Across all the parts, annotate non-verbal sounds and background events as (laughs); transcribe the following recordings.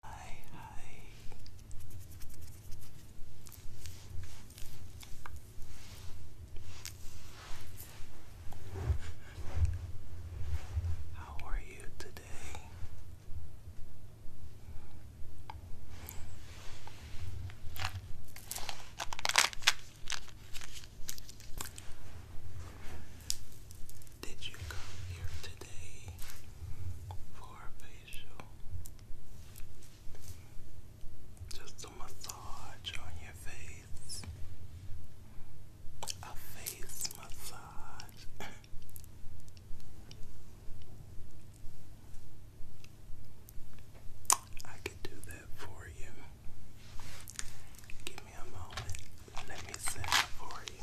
Hi, How are you today? Did you come here today for a facial? Just a massage on your face. A face massage. (coughs) I could do that for you. Give me a moment. Let me set it for you.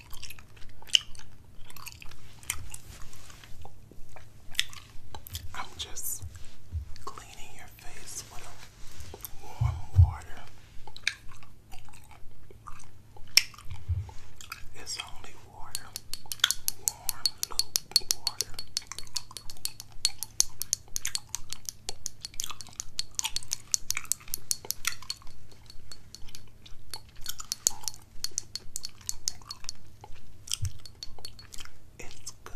I'm just cleaning your face with warm water. It's only water, warm loop water. It's good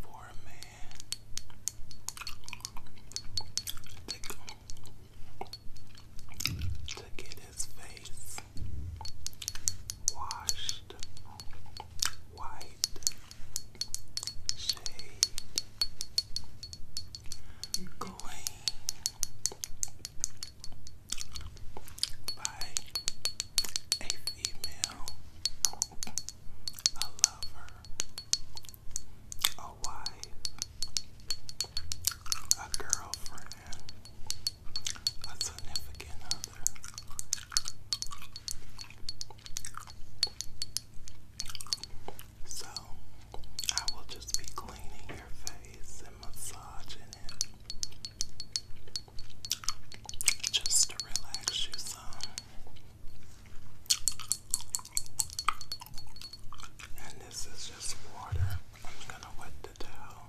for a man to, get his face washed, white, shaved, clean by a female, a lover, a wife, a girlfriend, a significant other. So, I will just be cleaning your face and massaging it just to relax you some. And this is just water. I'm gonna wet the towel.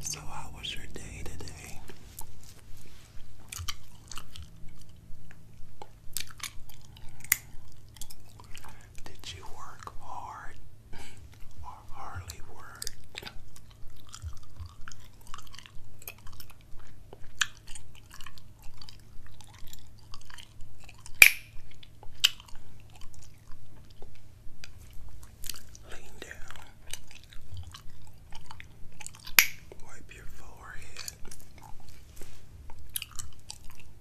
So, how was your day today? Did you work hard? or Harley Lean down. Wipe your forehead.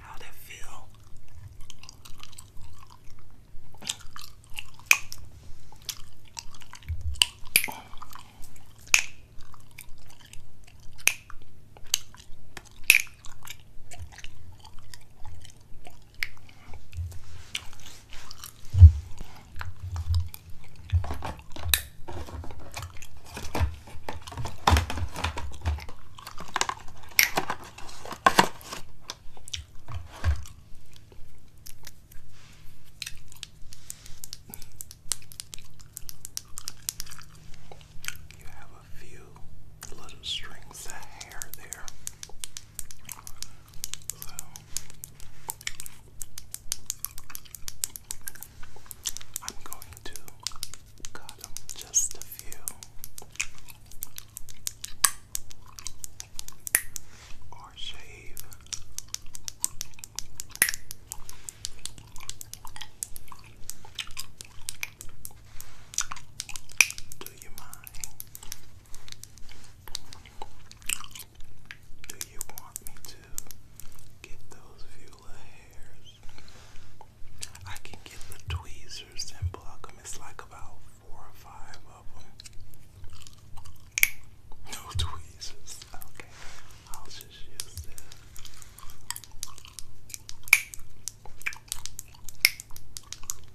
How that feel? You have a few little strings of hair there. So I'm going to cut them just a few or shave. Do you mind? Do you want me to get those Vula hairs? I can get the tweezers and pluck them. It's like about four or five of them. No (laughs) tweezers. Okay, I'll just use this.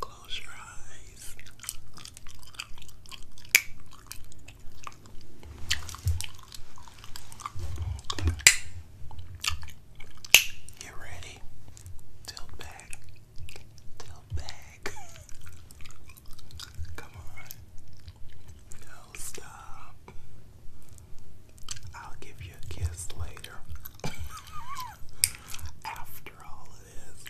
Close your eyes. You ready? Tilt back. Tilt back. (laughs) Come on. No, stop. I'll give you a kiss later. (laughs) After all this.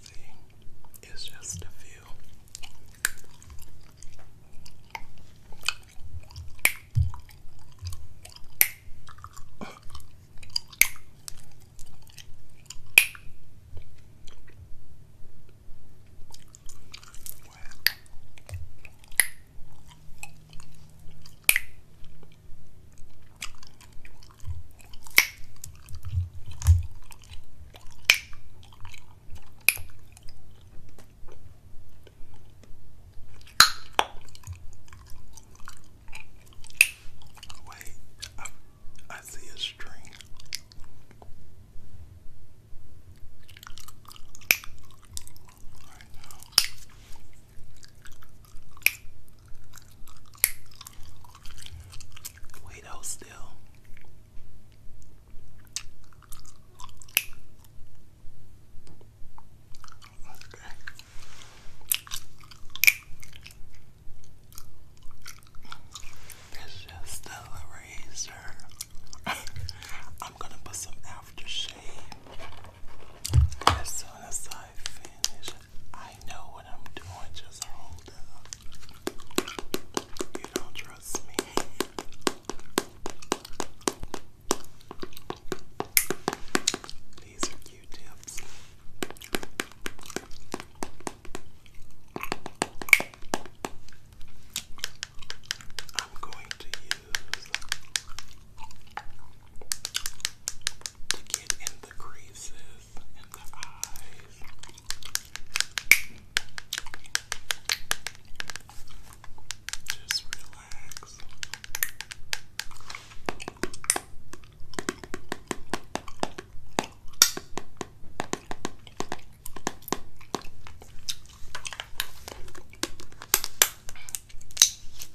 See, it's just a few. Wow. Wait, I, I see a string. Wait out still. It's just a razor. (laughs) I'm gonna put some aftershave as soon as I finish, I know what I'm doing. Just hold up. You don't trust me. These are Q-tips. I'm going to to get in the creases in the eyes. Just relax.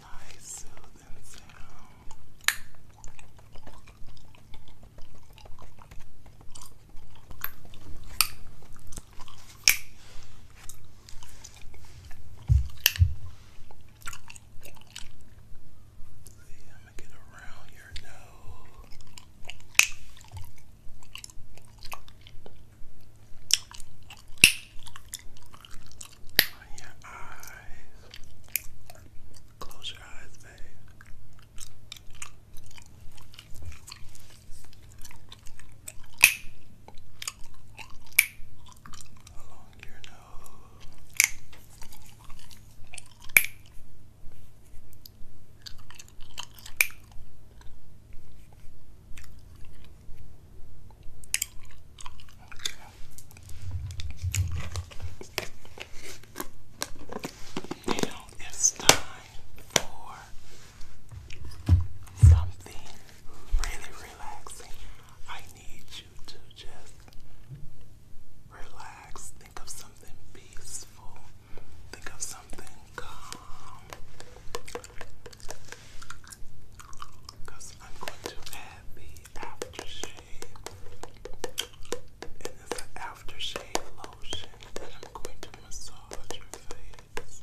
Nice soothing sound. See, I'm gonna get around your your nose. your eyes. Close your eyes, babe. Along your nose it's time for something really relaxing. I need you to just relax Think of something peaceful. Think of something calm. Because I'm going to add the aftershave. And it's an aftershave lotion that I'm going to massage your face.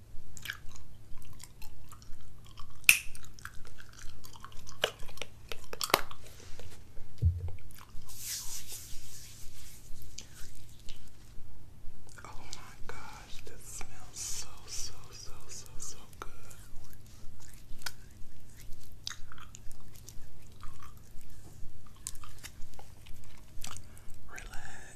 Oh my gosh, this smells so so so so so good. Relax.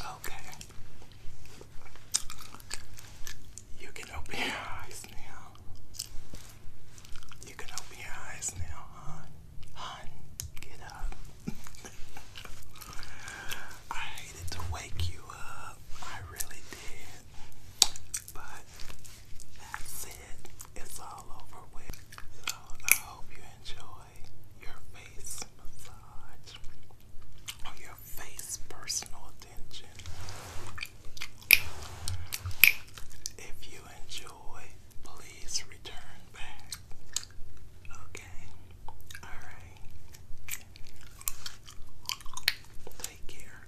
Okay. You can open your eyes now. You can open your eyes now, hon. Hon, get up. (laughs) I hated to wake you up. I really did. But that's it, it's all over with. So I hope you enjoy your face massage your face personal attention. If you enjoy, please return back. Okay? Alright. Take care.